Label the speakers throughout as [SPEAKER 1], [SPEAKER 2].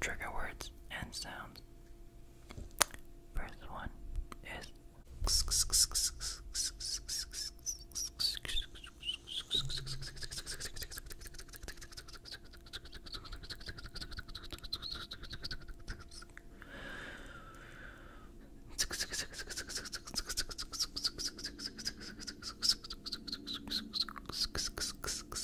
[SPEAKER 1] trigger words and sounds. First one is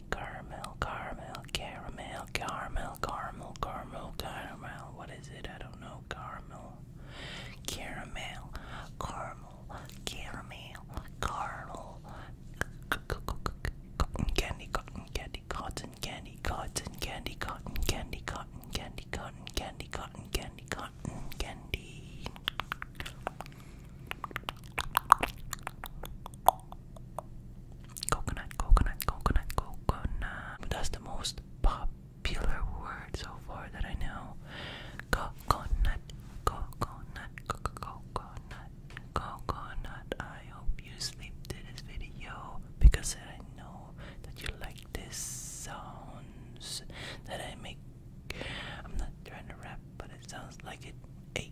[SPEAKER 1] candy caramel, caramel, caramel, caramel, caramel, caramel, caramel. What is it? I don't know. Caramel, caramel, caramel, caramel, caramel, candy, cotton, candy, cotton, candy, cotton, candy, cotton, candy, cotton, candy, cotton, candy, cotton, candy, cotton, candy. Coconut, coconut, coconut, coconut. That's the most popular word so far that I know. Coconut, coconut, coconut, coconut. I hope you sleep to this video because I know that you like this sounds that I make. I'm not trying to rap, but it sounds like it. Hey,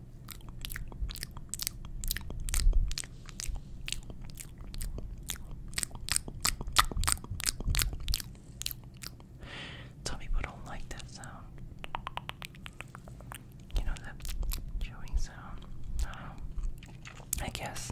[SPEAKER 1] Some people don't like that sound. You know that chewing sound. Um, I guess.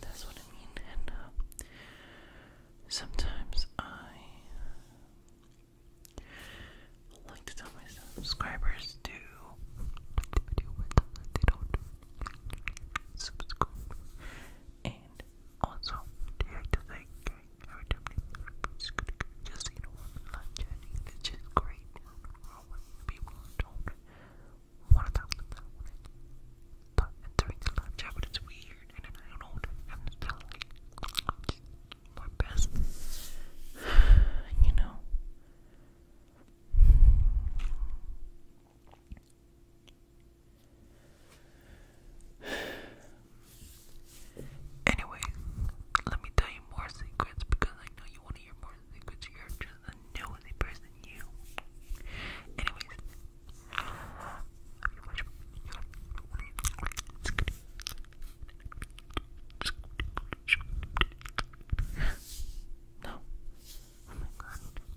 [SPEAKER 1] that's what I mean. And uh, sometimes I uh, like to tell my subscribers to do they don't subscribe. And also, they like to thank every time they just you It's just great. But during the lunch hour, it's weird, and I don't know what i best, you know. Anyway, let me tell you more secrets because I know you want to hear more secrets, you just a nosy person, you. Anyways, oh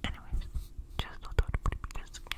[SPEAKER 1] Anyways, just not talk because, you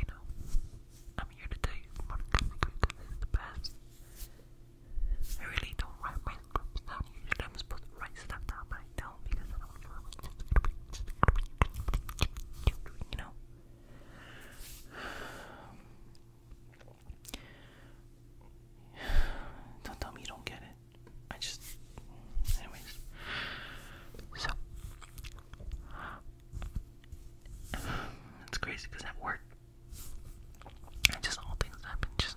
[SPEAKER 1] you know, I'm here to tell you because it's the best. I really don't write my scripts down. Usually i supposed to write stuff down, I don't because I don't know You know? Don't tell me you don't get it. I just. Anyways. So. It's crazy because at work, just all things happen. Just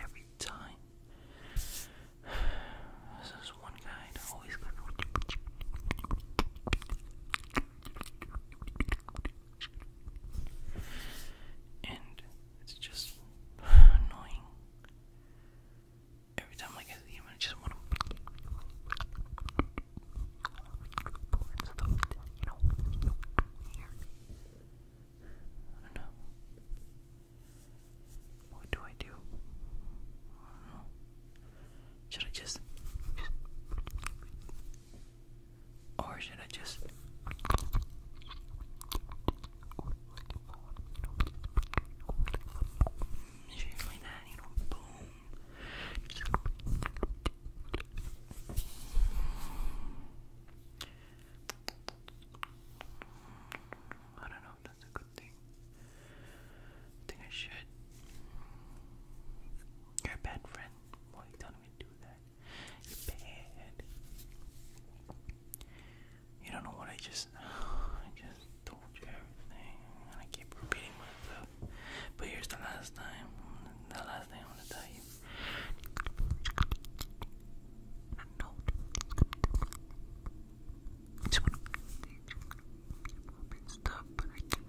[SPEAKER 1] Every time, there's this one guy that always goes. And it's just annoying. Every time I get the human, I just want to I don't know. What do I do? Should I just... Or should I just... It's you I don't know if that's a good thing. I think I should. You're a bad friend. Why well, you telling do that? You're bad. You don't know what I just. I just told you everything, and I keep repeating myself. But here's the last time. The last thing I want to tell you. No. It's I can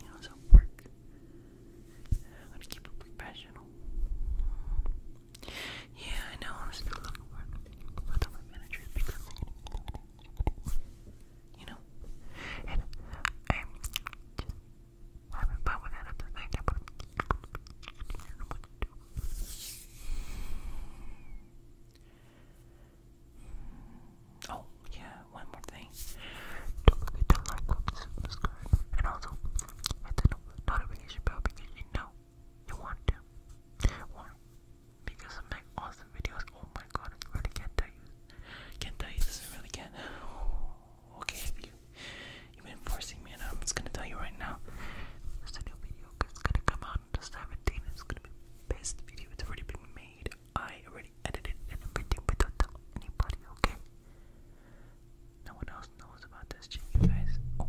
[SPEAKER 1] You know, it's work. I'm gonna keep it professional. Yeah, I know I'm still looking for the managers because you know, Oh, yeah, one more thing. Don't forget to like, subscribe, and also hit the notification bell because you know you want to. Or because I make awesome videos. Oh my god, I really can't tell you. Can't tell you this, I really can't. Okay, you, you've been forcing me, and I'm just gonna tell you right now. There's a new video it's gonna come out on the 17th. It's gonna be the best video it's already been made. I already edited and everything without telling anybody, okay? No one else knows about this shit, guys. Oh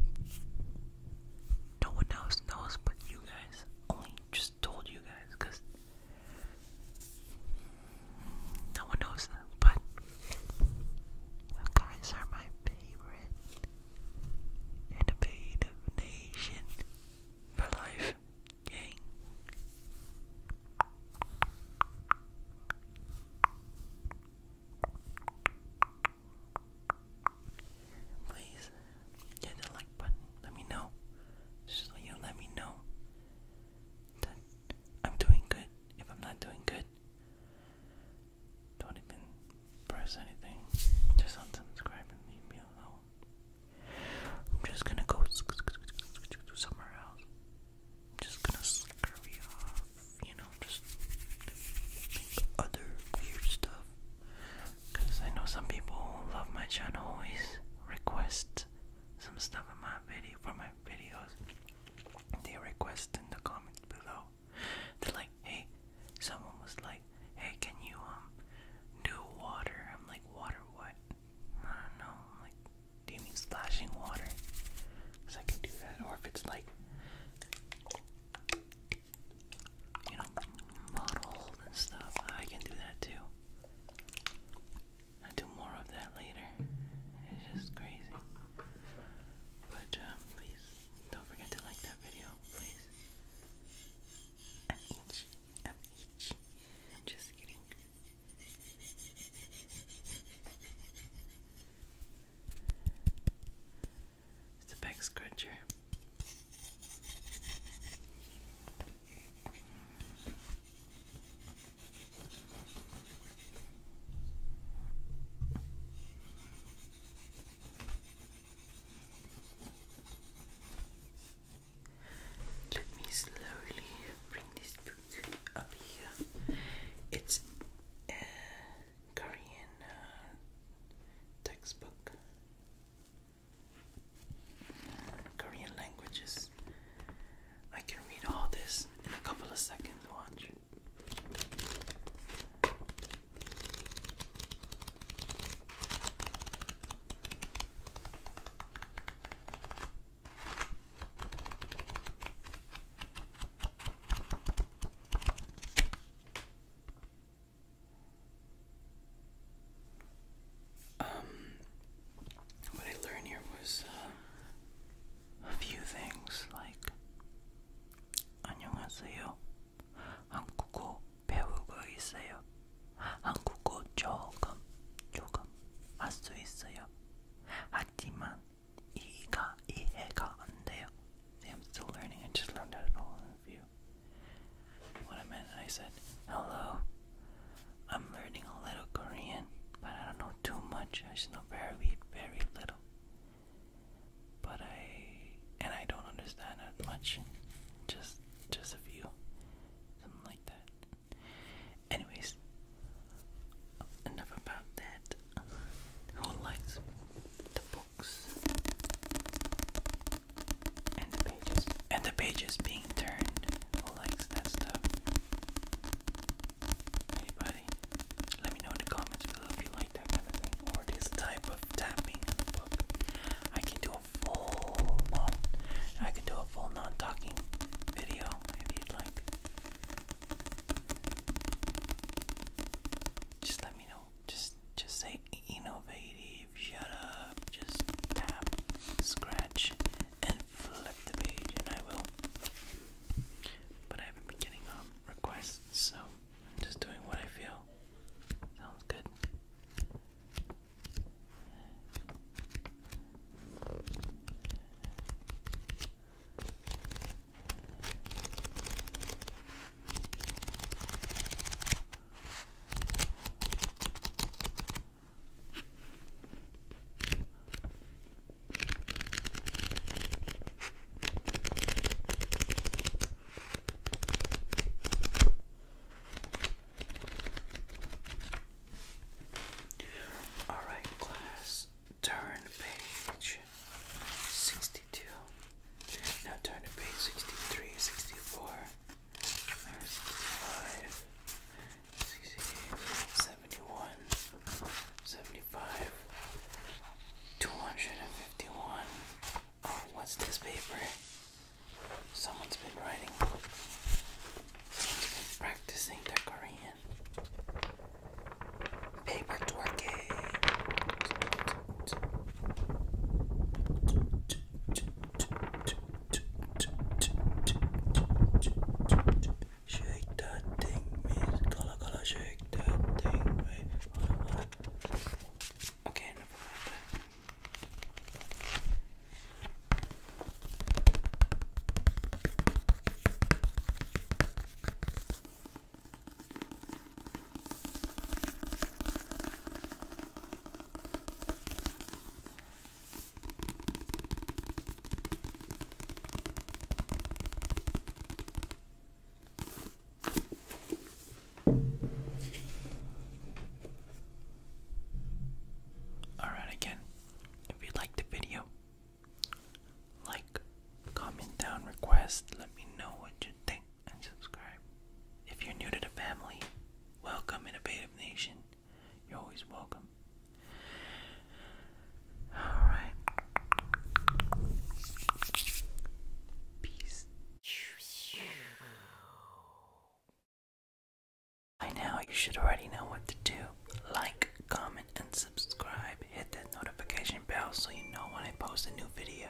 [SPEAKER 1] no one else knows but you guys. Only just told you guys, cause no one knows But you guys are my favorite innovative nation for life, gang. Please hit the like button. Let me know. Just so you let me know that I'm doing good. If I'm not doing good, don't even press anything. Just unsubscribe and leave me alone. I'm just gonna go somewhere else. I'm just gonna scurry off, you know just think other weird stuff. Because I know some people who love my channel always request some stuff in my video for my videos. They request in the comment below. They're like, hey, someone was like, hey, can you um do water? I'm like, water what? I don't know. am like, do you mean splashing water? Cause I can do that, or if it's like you know, models stuff. I can do that too. i do more of that later. It's just crazy. But um, please don't forget to like that video, please. just kidding. It's a back scratcher. Let me slowly bring this book up here. It's uh, Korean uh, textbook, Korean languages. I can read all this in a couple of seconds. Watch. Um, what I learned here was uh, a few things like 안녕하세요. 한국어 배우고 있어요. 한국어 조금 조금 할 수 있어요. 하지만 이가 이해가 안 돼요. See, I'm still learning. I just learned how to follow the What I meant, I said, hello. I'm learning a little Korean, but I don't know too much. I just know very, very little. But I, and I don't understand that much. Just, just a few. Something like that. Anyways, enough about that. Who likes the boy and the pages being turned. Who likes that stuff? Anybody? Let me know in the comments below if you like that kind of thing or this type of tapping I can do a full non I can do a full non-talking video if you'd like. Just let me know. Just just say innovative, shut up, just tap, scratch, and flip the page and I will. But I haven't been getting um, requests, so I'm just doing what I feel. Sounds good. All right, class, turn page sixty 62. Now turn to page 63, 64, 75, 251. Oh, what's this paper? Someone's been writing. Someone's been practicing their Korean. Paper twerking. Shake that thing, miss. Gala gala, shake that thing, wait. Okay, Alright, again, if you liked the video, like, comment down, request, let me know what you think and subscribe. If you're new to the family, welcome in a Innovative Nation. You're always welcome. Alright. Peace. By now, you should already know what to do. Like, comment, and subscribe. Hit that notification bell so you know when I post a new video.